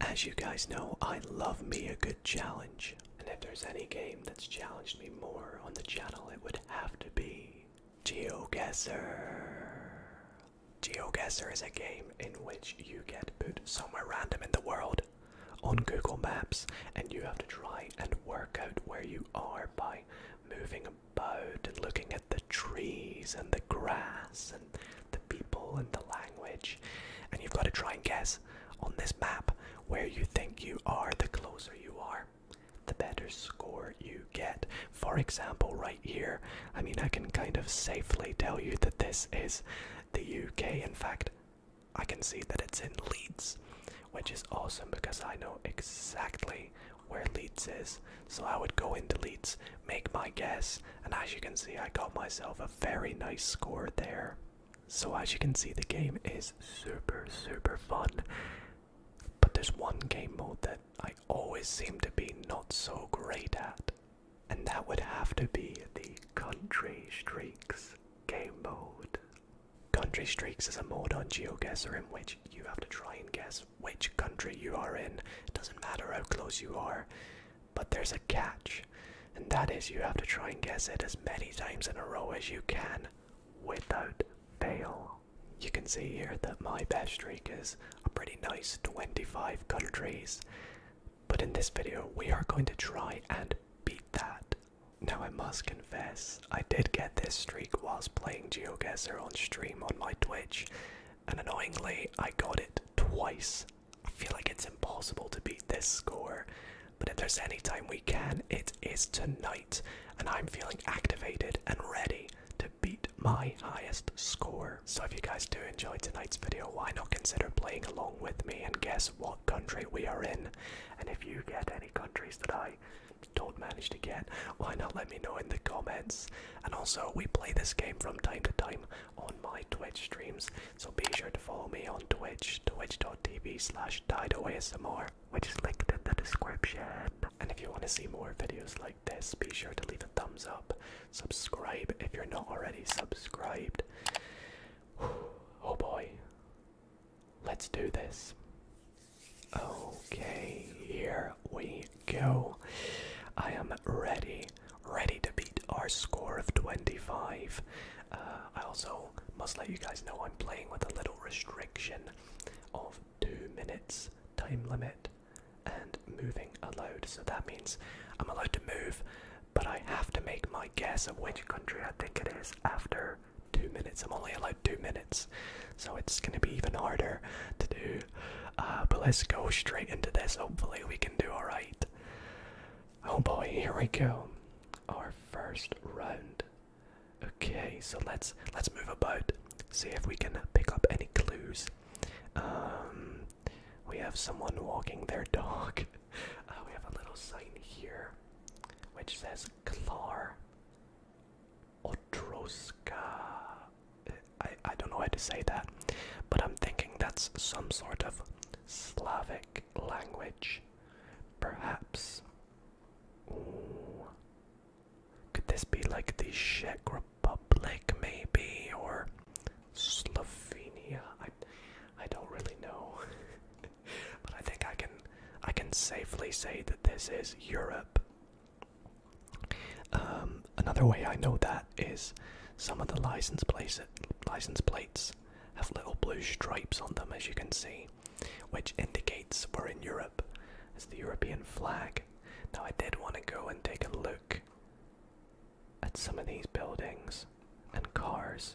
As you guys know, I love me a good challenge. And if there's any game that's challenged me more on the channel, it would have to be GeoGuessr. GeoGuessr is a game in which you get put somewhere random in the world on Google Maps and you have to try and work out where you are by moving about and looking at the trees and the grass the people and the language. And you've got to try and guess on this map where you think you are. The closer you are, the better score you get. For example, right here, I mean, I can kind of safely tell you that this is the UK. In fact, I can see that it's in Leeds, which is awesome because I know exactly where Leeds is. So I would go into Leeds make my guess. And as you can see, I got myself a very nice score there. So, as you can see, the game is super, super fun. But there's one game mode that I always seem to be not so great at, and that would have to be the Country Streaks game mode. Country Streaks is a mode on GeoGuessr in which you have to try and guess which country you are in. It doesn't matter how close you are, but there's a catch, and that is you have to try and guess it as many times in a row as you can without fail. You can see here that my best streak is a pretty nice 25 countries. But in this video, we are going to try and beat that. Now, I must confess, I did get this streak whilst playing GeoGuessr on stream on my Twitch, and annoyingly, I got it twice I feel like it's impossible to beat this score, but if there's any time we can, it is tonight, and I'm feeling activated and ready to beat my highest score. So if you guys do enjoy tonight's video, why not consider playing along with me and guess what country we are in? And if you get any countries that I don't manage to get, why not let me know in the comments? And also, we play this game from time to time, on my Twitch streams. So be sure to follow me on Twitch, twitch.tv slash didoasmr, which is linked in the description. And if you want to see more videos like this, be sure to leave a thumbs up. Subscribe if you're not already subscribed. Oh boy. Let's do this. Okay, here we go. I am ready ready to beat our score of 25. Uh, I also must let you guys know I'm playing with a little restriction of two minutes time limit and moving allowed. So that means I'm allowed to move, but I have to make my guess of which country I think it is after two minutes. I'm only allowed two minutes, so it's going to be even harder to do. Uh, but let's go straight into this. Hopefully, we can do all right. Oh boy, here we go. Our first round. Okay, so let's let's move about. See if we can pick up any clues. Um, we have someone walking their dog. Uh, we have a little sign here, which says Klar Otroska. I, I don't know how to say that, but I'm thinking that's some sort of Slavic language. Perhaps. Could this be like the Czech Republic, maybe, or Slovenia? I, I don't really know, but I think I can, I can safely say that this is Europe. Um, another way I know that is some of the license plates, license plates have little blue stripes on them, as you can see, which indicates we're in Europe. It's the European flag. Now, I did want to go and take a look at some of these buildings and cars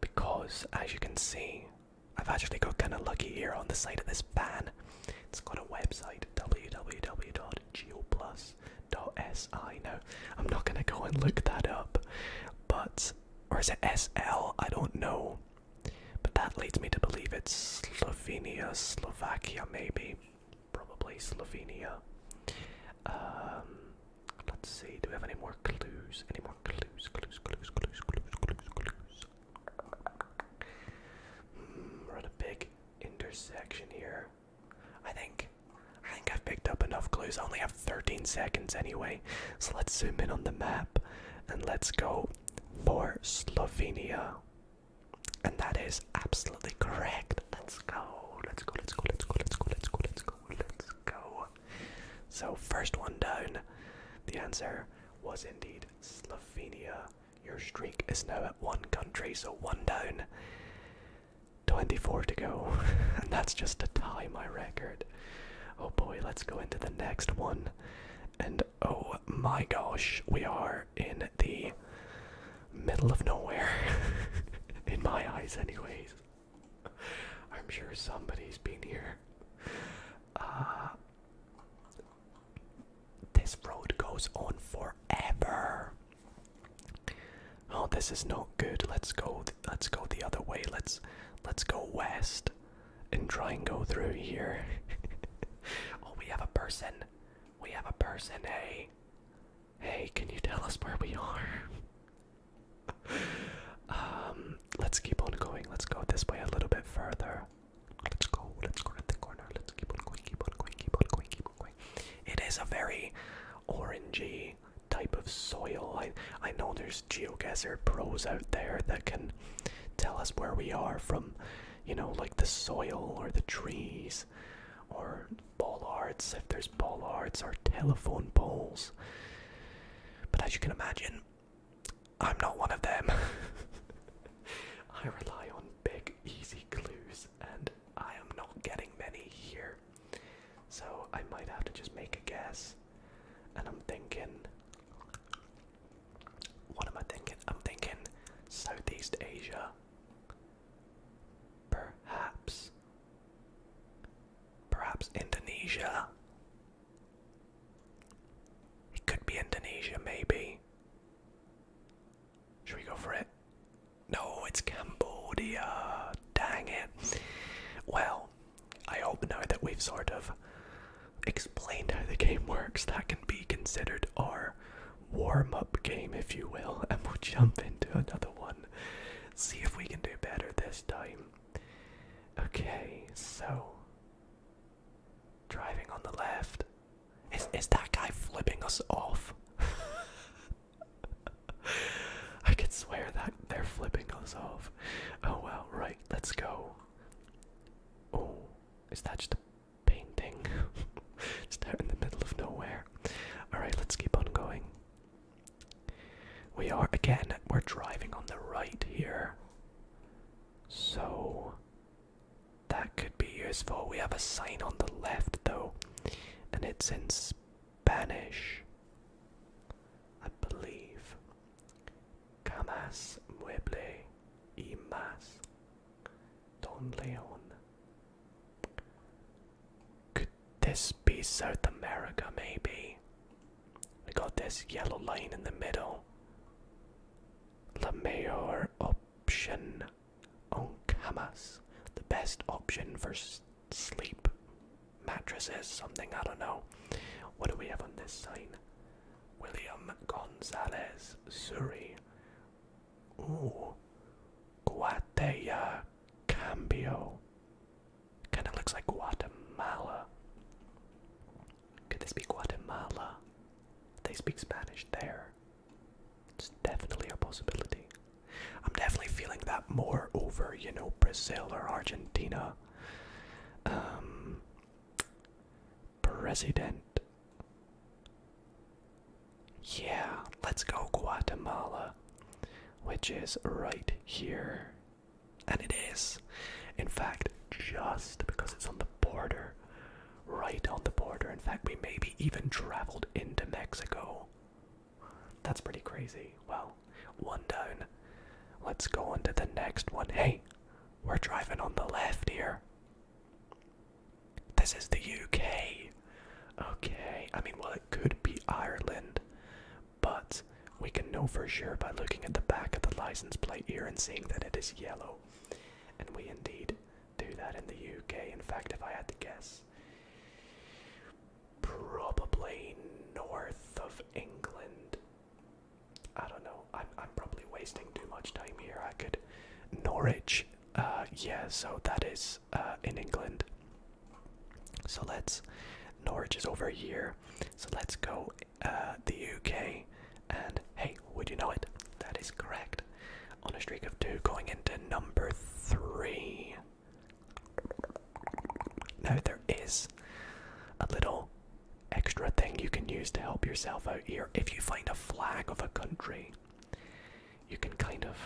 because, as you can see, I've actually got kind of lucky here on the side of this van. It's got a website www called geoplus.si. Now, I'm not going to go and look that up, but, or is it SL? I don't know. But that leads me to believe it's Slovenia, Slovakia, maybe. Probably Slovenia. Um, let's see, do we have any more clues? Any more clues? Clues, clues, clues, clues, clues, clues. Mm, we're at a big intersection here. I think. I think I've picked up enough clues. I only have 13 seconds anyway. So let's zoom in on the map and let's go for Slovenia. And that is absolutely correct. Let's go. Let's go. Let's go. Let's go. Let's go. Let's go. Let's go. Let's go. So first one down. The answer was indeed Slovenia. Your streak is now at one country, so one down. 24 to go, and that's just to tie my record. Oh boy, let's go into the next one. And oh my gosh, we are in the middle of nowhere. in my eyes, anyways. I'm sure somebody's been here. Uh, this road goes on forever. Oh, this is not good. Let's go. Let's go the other way. Let's let's go west and try and go through here. oh, we have a person. We have a person. Hey, hey, can you tell us where we are? um, let's keep on going. Let's go this way a little bit further. Let's go. Let's go at the corner. Let's keep on going. Keep on going. Keep on going. Keep it is a very orangey type of soil. I I know there's geogazer pros out there that can tell us where we are from, you know, like the soil or the trees or bollards if there's bollards or telephone poles. But as you can imagine, I'm not one of them. I rely on big easy clues and I am not getting many here. So I might have to just make a guess. And I'm thinking. What am I thinking? I'm thinking Southeast Asia. Perhaps. Perhaps Indonesia. It could be Indonesia, maybe. Should we go for it? No, it's Cambodia. Dang it. Well, I hope now that we've sort of explained how the game works, that can be considered our warm up game, if you will, and we'll jump into another one. See if we can do better this time. Okay, so driving on the left. Is, is that guy flipping us off? I could swear that they're flipping us off. Oh well, right, let's go. Oh, is that just a painting? it's down in the middle of nowhere. Alright, let's keep on going. We are, again, we're driving on the right here. So, that could be useful. We have a sign on the left though, and it's in Spanish, I believe. Camas mueble y más. Don Leon. Could this be South America maybe? We got this yellow line in the middle. La mayor option on camas, the best option for sleep mattresses, something I don't know. What do we have on this sign? William Gonzalez, Surí. Ooh, Guatea Cambio. Kind of looks like Guatemala. Could this be Guatemala? They speak Spanish there. It's definitely a possibility. I'm definitely feeling that more over, you know, Brazil or Argentina. Um, president. Yeah, let's go Guatemala, which is right here. And it is, in fact, just because it's on the border right on the border. In fact, we maybe even traveled into Mexico. That's pretty crazy. Well, one down. Let's go on to the next one. Hey, we're driving on the left here. This is the UK. Okay, I mean, well, it could be Ireland, but we can know for sure by looking at the back of the license plate here and seeing that it is yellow. And we indeed do that in the UK. In fact, if I had to guess, probably north of England. I don't know. I'm I'm probably wasting too much time here. I could Norwich. Uh, yeah, so that is uh, in England. So let's Norwich is over here. So let's go uh, the UK. And hey, would you know it? That is correct on a streak of two going into number three. Now, there is a little extra thing you can use to help yourself out here. If you find a flag of a country, you can kind of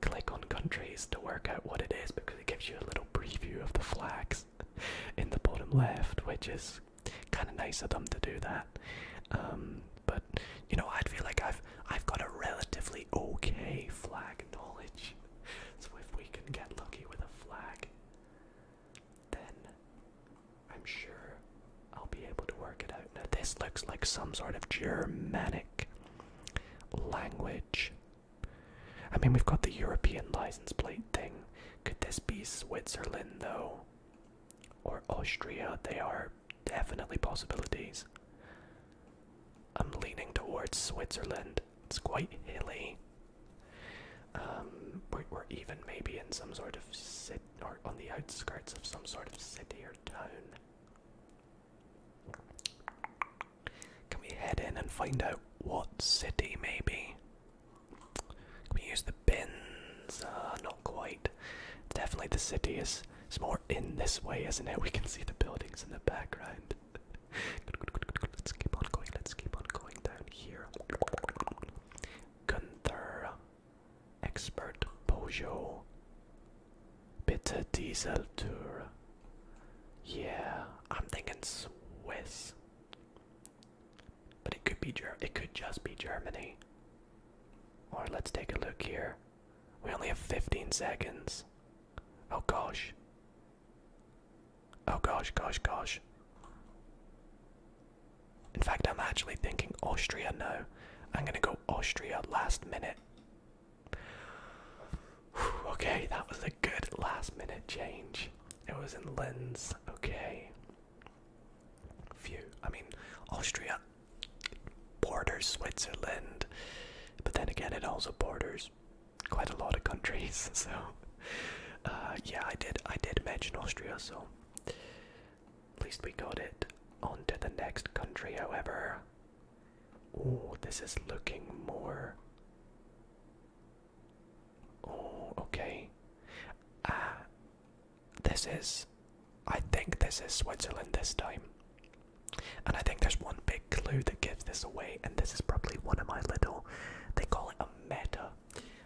click on countries to work out what it is because it gives you a little preview of the flags in the bottom left, which is kind of nice of them to do that. Um, but you know, I feel like I've I've got a relatively okay flag knowledge. So if we can get lucky with a flag, then I'm sure I'll be able to work it out. this looks like some sort of Germanic language. I mean, we've got the European license plate thing. Could this be Switzerland though? Or Austria? They are definitely possibilities. I'm leaning towards Switzerland. It's quite hilly. Um, we're, even maybe in some sort of city or on the outskirts of some sort of city or town. Can we head in and find out what city maybe? Can we use the bins? Uh, not quite. Definitely the city is, is more in this way, isn't it? We can see the buildings in the background. good, good, good, good, Let's keep on going. Let's keep on going down here. Gunther, expert Peugeot, bitter diesel tour. Yeah, I'm thinking Swiss, but it could be Ger. It could just be Germany. Or let's take a look here. We only have 15 seconds. Oh gosh. Oh gosh, gosh, gosh. In fact, I'm actually thinking Austria now. I'm gonna go Austria last minute. okay, that was a good last minute change. It was in Lens. Okay. Phew. I mean, Austria borders Switzerland, but then again, it also borders quite a lot of countries. So, uh, yeah, I did. I did mention Austria, so at least we got it. On to the next country, however. Oh, this is looking more. Oh, okay. Ah, this is, I think this is Switzerland this time. And I think there's one big clue that gives this away, and this is probably one of my little, they call it a meta,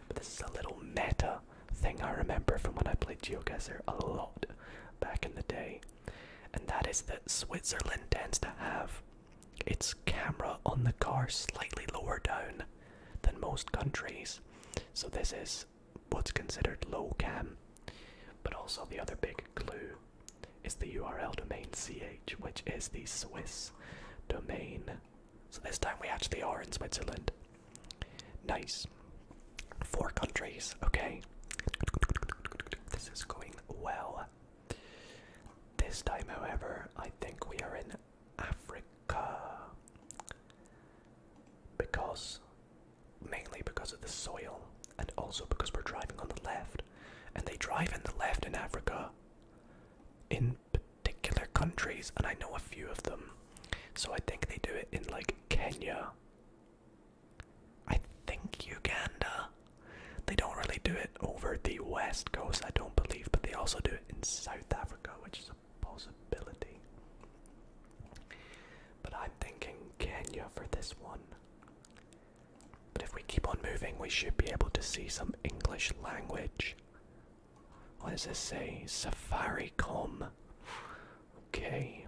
but this is a little meta thing I remember from when I played GeoGuessr a lot back in the day. And that is that Switzerland tends to have its camera on the car slightly lower down than most countries. So this is what's considered low cam. But also, the other big clue is the URL domain ch, which is the Swiss domain. So this time we actually are in Switzerland. Nice. Four countries, okay. This is going well. This time, however, I think we are in Africa because mainly because of the soil and also because we're driving on the left and they drive in the left in Africa in particular countries and I know a few of them so I think they do it in like Kenya I think Uganda they don't really do it over the west coast I don't believe but they also do it in South Africa which is a possibility. But I'm thinking Kenya for this one. But if we keep on moving, we should be able to see some English language. What does this say? Safaricom. Okay.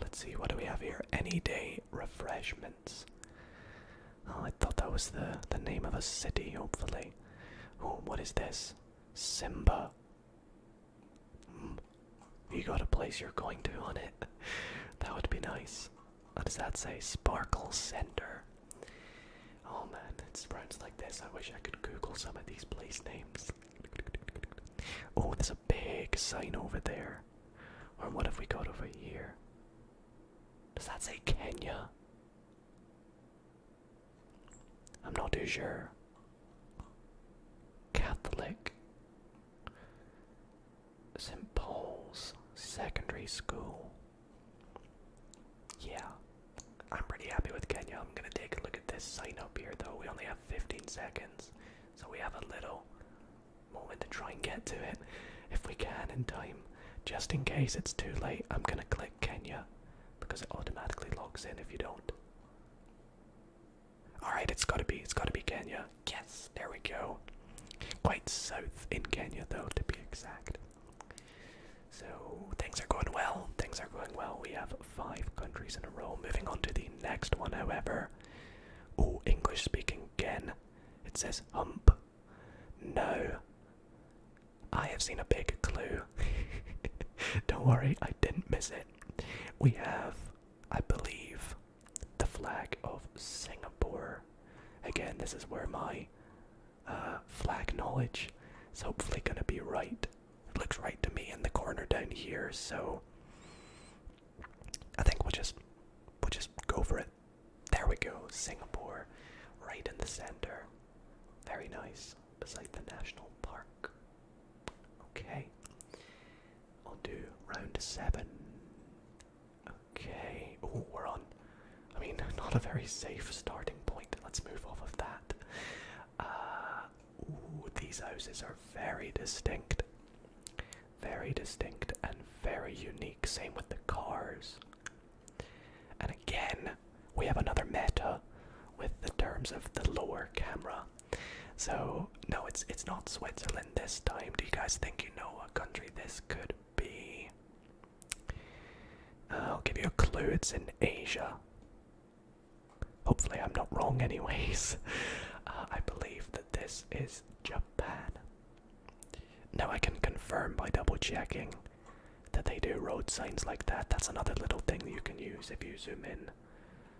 Let's see, what do we have here? Any day refreshments. Oh, I thought that was the the name of a city. Hopefully. Oh, what is this? Simba. Mm. You got a place you're going to on it. that would be nice. What does that say? Sparkle Center. Oh man, it's brands like this. I wish I could Google some of these place names. Oh, there's a big sign over there. Or what have we got over here? Does that say Kenya? I'm not too sure. Catholic. St. Paul's Secondary School. Yeah, I'm pretty happy with Kenya. I'm gonna take a look at this sign up here though. We only have 15 seconds, so we have a little moment to try and get to it if we can in time. Just in case it's too late, I'm gonna click Kenya because it automatically logs in if you don't. Alright, it's gotta be, it's gotta be Kenya. Yes, there we go. Quite south in Kenya though, to be exact. So things are going well, things are going well. We have five countries in a row. Moving on to the next one, however. Oh, English speaking again. It says hump no. I have seen a big clue. Don't worry, I didn't miss it. We have, I believe, the flag of Singapore. Again, this is where my uh, flag knowledge is hopefully going to be right. It looks right to me in the corner down here, so I think we'll just we'll just go for it. There we go, Singapore, right in the center. Very nice, beside the national park. Okay, i will do round seven. Okay, oh, we're on. I mean, not a very safe starting point. Let's move off of that. Uh, these houses are very distinct. Very distinct and very unique. Same with the cars. And again, we have another meta with the terms of the lower camera. So no, it's it's not Switzerland this time. Do you guys think you know what country this could be? Uh, I'll give you a clue. It's in Asia. Hopefully, I'm not wrong. Anyways, uh, I believe that this is Japan. Now I can confirm by double checking that they do road signs like that. That's another little thing you can use if you zoom in.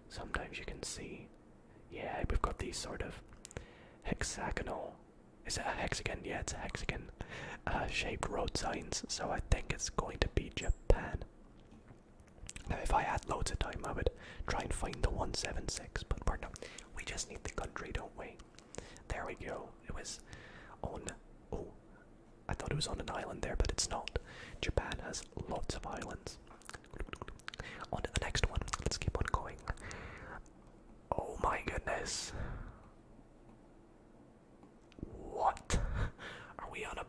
Sometimes you can see, yeah, we've got these sort of hexagonal. Is it a hexagon? Yeah, it's a hexagon uh, shaped road signs. So I think it's going to be Japan. Now, if I had loads of time, I would try and find the 176, but we're We just need the country, don't we? There we go. It was on. Oh, I thought it was on an island there, but it's not. Japan has lots of islands. On to the next one. Let's keep on going. Oh my goodness. What? Are we on a.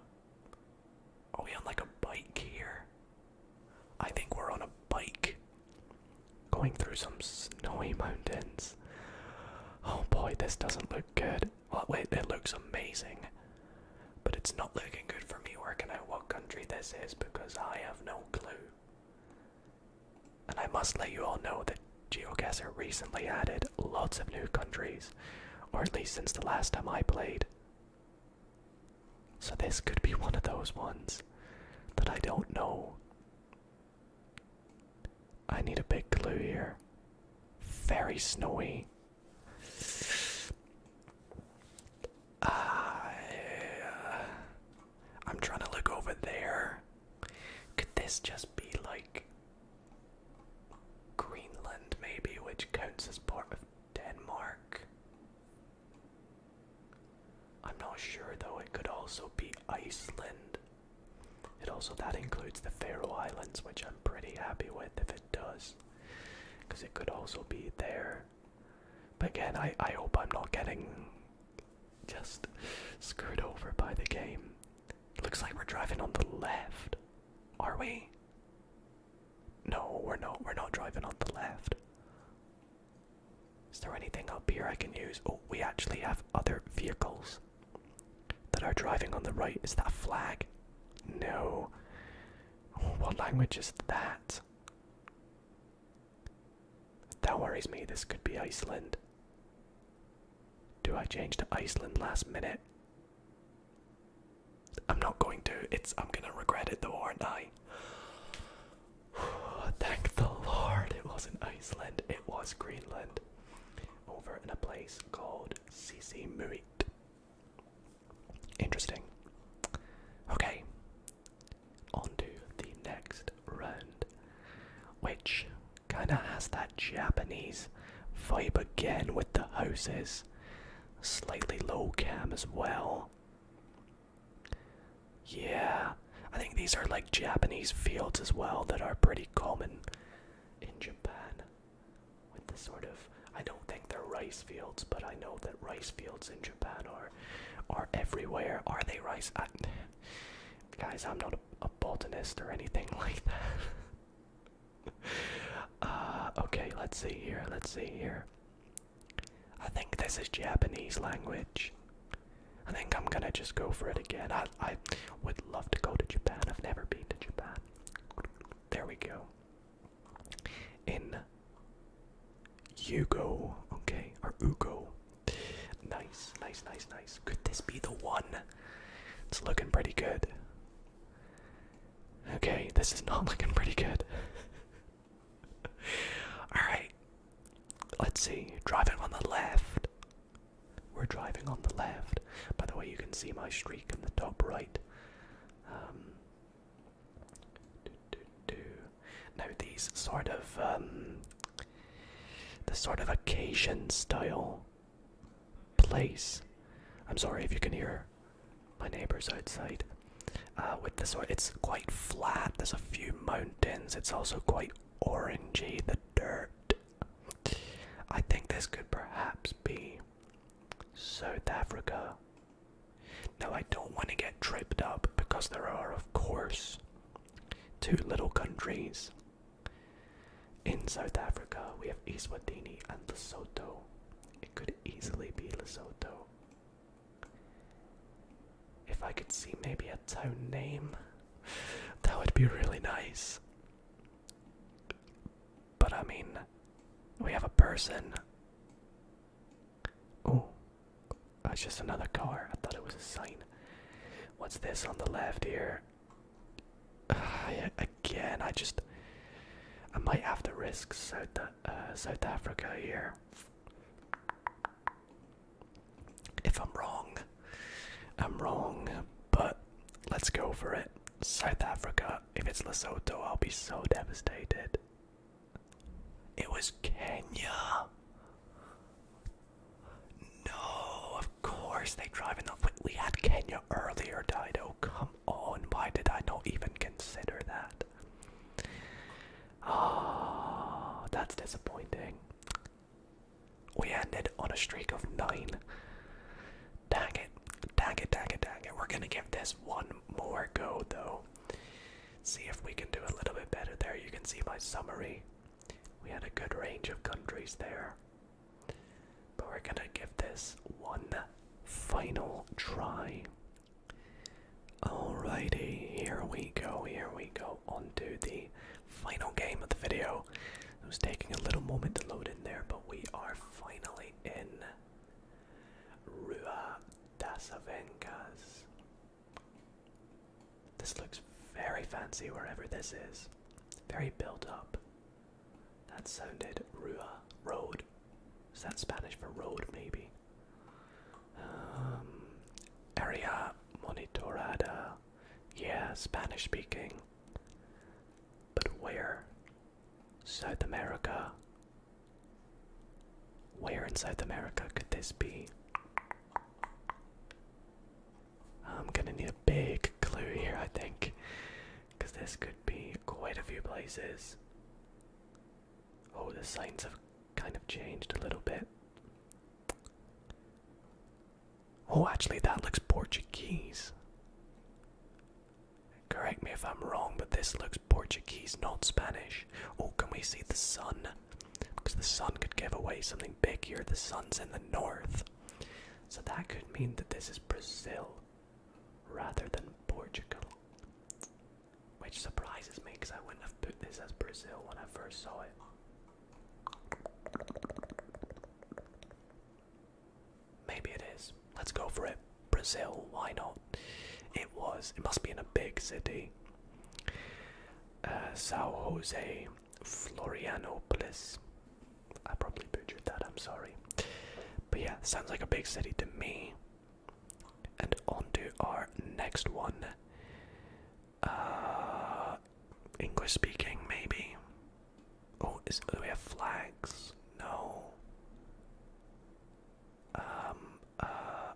Are we on like a bike here? I think we're on a bike going through some snowy mountains. Oh boy, this doesn't look good. wait, it looks amazing. But it's not looking good for me working out what country this is because I have no clue. And I must let you all know that GeoGuessr recently added lots of new countries, or at least since the last time I played. So this could be one of those ones that I don't know. I need a big clue here. Very snowy. Uh, I'm trying to look over there. Could this just be like Greenland, maybe, which counts as part of Denmark? I'm not sure though, it could also be Iceland. And also, that includes the Faroe Islands, which I'm pretty happy with if it does. Because it could also be there. But again, I, I hope I'm not getting just screwed over by the game. looks like we're driving on the left. Are we? No, we're not. We're not driving on the left. Is there anything up here I can use? Oh, we actually have other vehicles that are driving on the right. Is that flag? No. What language is that? That worries me. This could be Iceland. Do I change to Iceland last minute? I'm not going to. It's I'm gonna regret it though, aren't I? Thank the Lord it wasn't Iceland, it was Greenland over in a place called Sisi Muit. Interesting. Okay, on to the next round, which kind of has that Japanese vibe again with the houses, slightly low cam as well. Yeah, I think these are like Japanese fields as well that are pretty common in Japan. With the sort of, I don't think they're rice fields, but I know that rice fields in Japan are are everywhere. Are they rice? guys, I'm not a, botanist or anything like that. Uh, okay, let's see here. Let's see here. I think this is Japanese language. I think I'm gonna just go for it again. I would love to go to Japan. I've never been to Japan. There we go. In Yugo, okay, or Ugo. Nice, nice, nice, nice. Could this be the one? It's looking pretty good. Okay, this is not looking pretty good. Alright. Let's see. Driving on the left. We're driving on the left. By the way, you can see my streak in the top right. Um, now these sort of um, the sort of occasion style place. I'm sorry if you can hear my neighbors outside. Uh, with the it's quite flat. There's a few mountains. It's also quite orangey. The dirt I think this could perhaps be South Africa. Now, I don't want to get tripped up because there are, of course, two little countries in South Africa. We have Eswatini and Lesotho. It could easily be Lesotho. If I could see maybe a town name, that would be really nice. But I mean, we have a person. Oh, that's just another car. I thought it was a sign. What's this on the left here? again, I just. I might have to risk South, uh, South Africa here. If I'm wrong, I'm wrong, but let's go for it. South Africa, if it's Lesotho, I'll be so devastated. It was Kenya. No, of course they drive in the. We had Kenya earlier, Dido. Come on, why did I not even consider that? oh, that's disappointing. We ended on a streak of nine. Dang it, dang it, dang it, dang it. We're gonna give this one more go though. See if we can do a little bit better there. You can see my summary. We had a good range of countries there. But we're gonna give this one final try. Alrighty, here we go, here we go. onto the final game of the video. It was taking a little moment to load in there, but we are finally in Rua das Avencas. This looks very fancy wherever this is. Very built up. That sounded Rua Road. Is that Spanish for road maybe? Um, area Monitorada yeah, Spanish speaking. But where? South America. Where in South America could this be? I'm gonna need a big clue here, I think, because this could be quite a few places. Oh, the signs have kind of changed a little bit. Oh, actually, that looks Portuguese. Correct me if I'm wrong, but this looks Portuguese, not Spanish. Oh, can we see the sun? Because the sun could give away something big here. The sun's in the north. So that could mean that this is Brazil rather than Portugal. Which surprises me because I wouldn't have put this as Brazil when I first saw it. Maybe it is. Let's go for it. Brazil, why not? It was. It must be in a big city. Uh, Sao Jose, Florianopolis. I probably butchered that, I'm sorry. But yeah, sounds like a big city to me. And on to our next one. Uh, English speaking, maybe. Oh, is, do we have flags? No. Um, uh,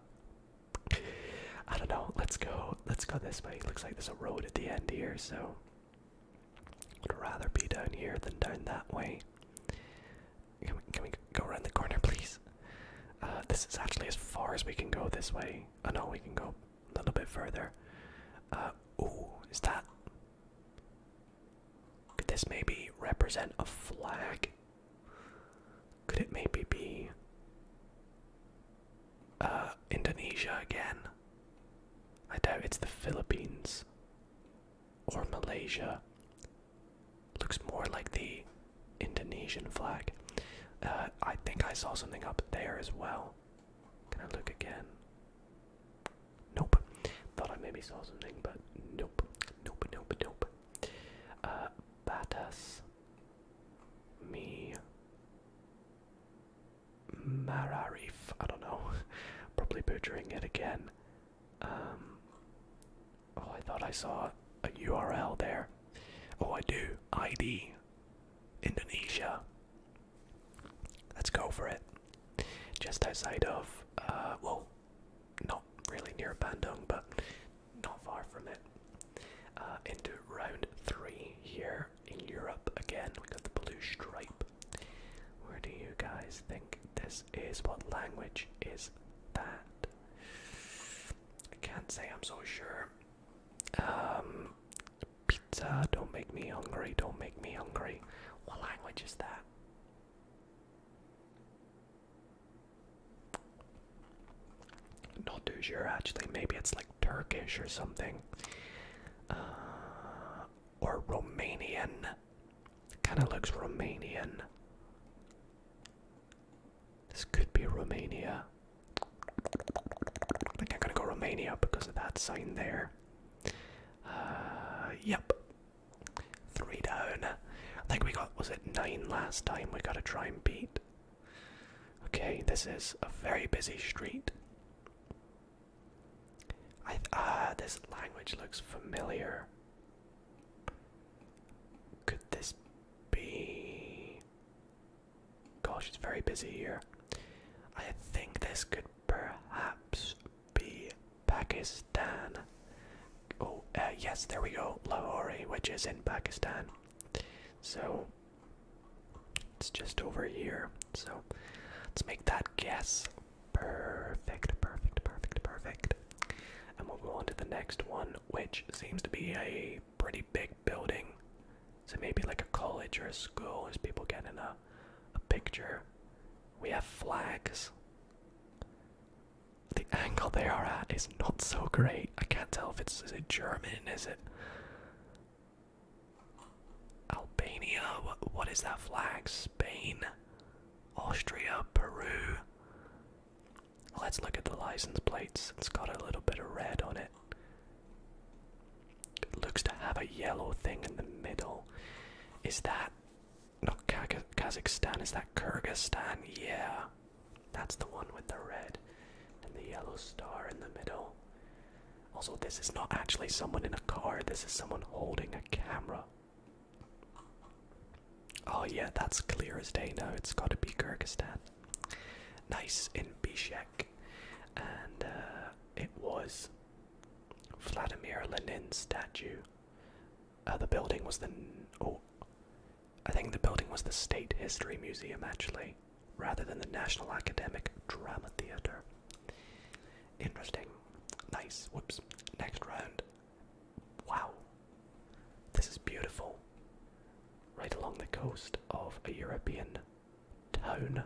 I don't know. Let's go. Let's go this way. looks like there's a road at the end here, so would rather be down here than down that way. Can we, can we go around the corner, please? Uh, this is actually as far as we can go this way. Oh no, we can go a little bit further. Uh, ooh, is that? Could this maybe represent a flag? Could it maybe be uh, Indonesia again? I doubt it's the Philippines or Malaysia. Looks more like the Indonesian flag. Uh, I think I saw something up there as well. Can I look again? Nope. Thought I maybe saw something, but nope. Nope, nope, nope. Uh, Batas. Me. Mararif. I don't know. Probably butchering it again. Um. Oh, I thought I saw a URL there. Oh, I do. ID. Indonesia. Let's go for it. Just outside of, uh, well, not really near Bandung, but not far from it. Uh, into round three here in Europe again. We got the blue stripe. Where do you guys think this is? What language is that? I can't say I'm so sure. Um, pizza, don't make me hungry, don't make me hungry. What language is that? Not too sure actually, maybe it's like Turkish or something. Uh, or Romanian. Kinda looks Romanian. This could be Romania. I think I'm gonna go Romania because of that sign there. Uh, yep. Three down. I think we got, was it nine last time we gotta try and beat? Okay, this is a very busy street. I ah, this language looks familiar. Could this be Gosh, it's very busy here. I think this could perhaps be Pakistan. Oh, uh, yes, there we go. Lahori, which is in Pakistan. So, it's just over here. So, let's make that guess. Perfect, perfect, perfect, perfect. And we'll go on to the next one, which seems to be a pretty big building. So maybe like a college or a school as people get in a, a picture. We have flags. The angle they are at is not so great. I can't tell if it's a German, is it Albania? what is that flag? Spain, Austria, Peru. Let's look at the license plates. It's got a little bit of red on it looks to have a yellow thing in the middle. Is that not Kazakhstan? Is that Kyrgyzstan? Yeah, that's the one with the red and the yellow star in the middle. Also, this is not actually someone in a car, this is someone holding a camera. Oh, yeah, that's clear as day now. It's got to be Kyrgyzstan nice in Bishkek, and uh, it was Vladimir Lenin's statue. Uh, the building was the oh, I think the building was the State History Museum actually, rather than the National Academic Drama Theater. Interesting, nice. Whoops. Next round. Wow, this is beautiful right along the coast of a European town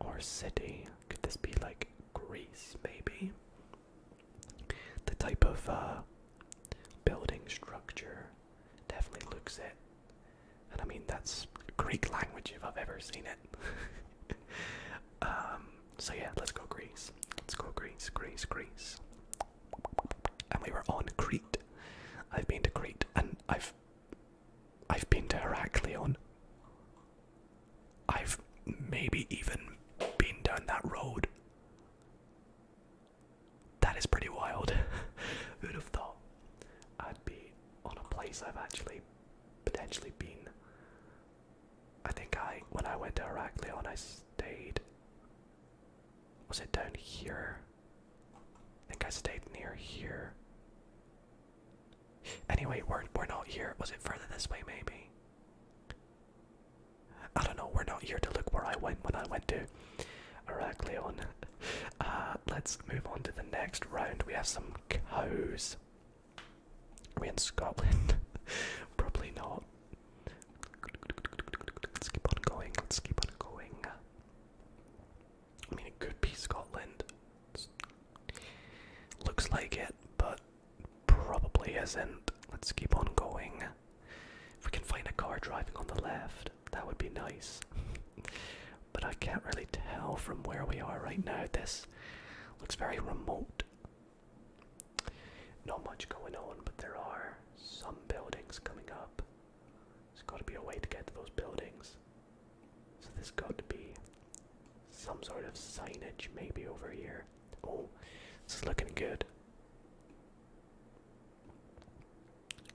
or city. Could this be like Greece, maybe? The type of uh, building structure definitely looks it. And I mean, that's Greek language if I've ever seen it. um, so yeah, let's go Greece. Let's go Greece, Greece, Greece and we were on Crete. I've been to Crete, and I've I've been to Heraklion. I've maybe even been down that road. That is pretty wild. Who'd have thought I'd be on a place I've actually potentially been? I think I, when I went to Heraklion, I stayed. Was it down here? I think I stayed near here. Anyway, we're we're not here. Was it further this way maybe? I don't know, we're not here to look where I went when I went to Heraklion. Uh, let's move on to the next round. We have some cows. Are we in Scotland? Probably not. Let's keep on going, let's keep on going. I mean, it could be Scotland. looks like it, but probably isn't. Let's keep on going. If we can find a car driving on the left, that would be nice. but I can't really tell from where we are right now. This looks very remote. Not much going on, but there are some buildings coming up. There's got to be a way to get to those buildings. So there's got to be some sort of signage maybe over here. Oh, this is looking good.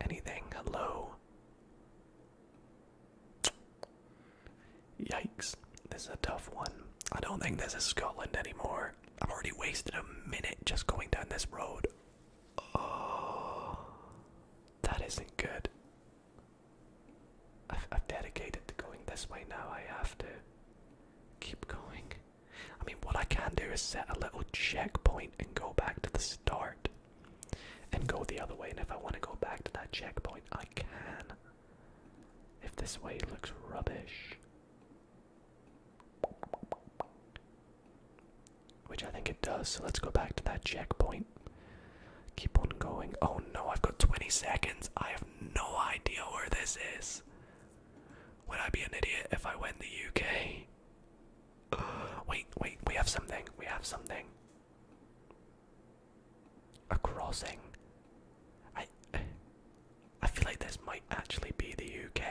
Anything? Hello? Yikes. This is a tough one. I don't think this is Scotland anymore. I've already wasted a minute just going down this road. Oh, that isn't good. I've, I've dedicated to going this way now. I have to keep going. I mean, what I can do is set a little checkpoint and go back to the start and go the other way. And if I want to go back to that checkpoint, I can. If this way looks rubbish. Which I think it does. So let's go back to that checkpoint. Keep on going. Oh no, I've got 20 seconds. I have no idea where this is. Would I be an idiot if I went the UK? wait, wait, we have something. We have something. A crossing. I I feel like this might actually be the UK.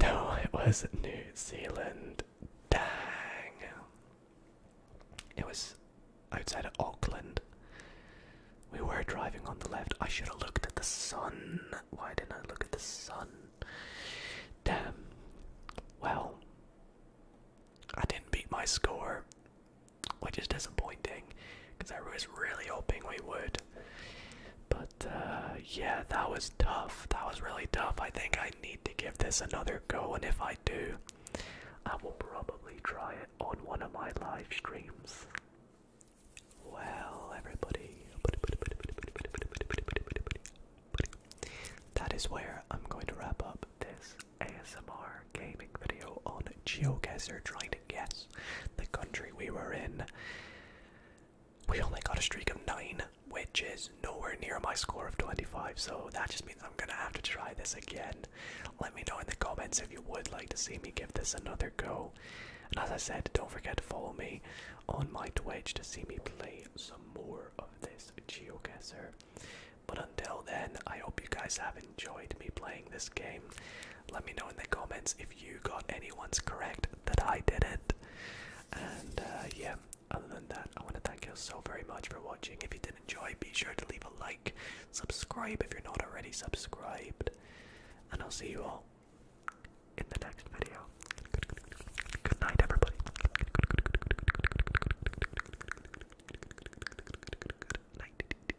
No, it was New Zealand. Dang. It was outside of Auckland. We were driving on the left. I should have looked at the sun. Why didn't I look at the sun? Damn. Well, I didn't beat my score, which is disappointing because I was really hoping we would. But uh, yeah, that was tough. That was really tough. I think I need to give this another go, and if I do, I will probably try it on one of my live streams. Well, everybody, that is where I'm going to wrap up this ASMR gaming video on GeoGuessr, trying to guess the country we were in. We only got a streak of nine, which is nowhere near my score of 25, so that just means I'm gonna have to try this again. Let me know in the comments if you would like to see me give this another go. And as I said, don't forget to follow me on my Twitch to see me play some more of this geoguesser. But until then, I hope you guys have enjoyed me playing this game. Let me know in the comments if you got anyone's correct that I didn't. And uh, yeah, other than that, I want to thank you so very much for watching. If you did enjoy, be sure to leave a like, subscribe if you're not already subscribed, and I'll see you all in the next video. Good night, everybody. Good night.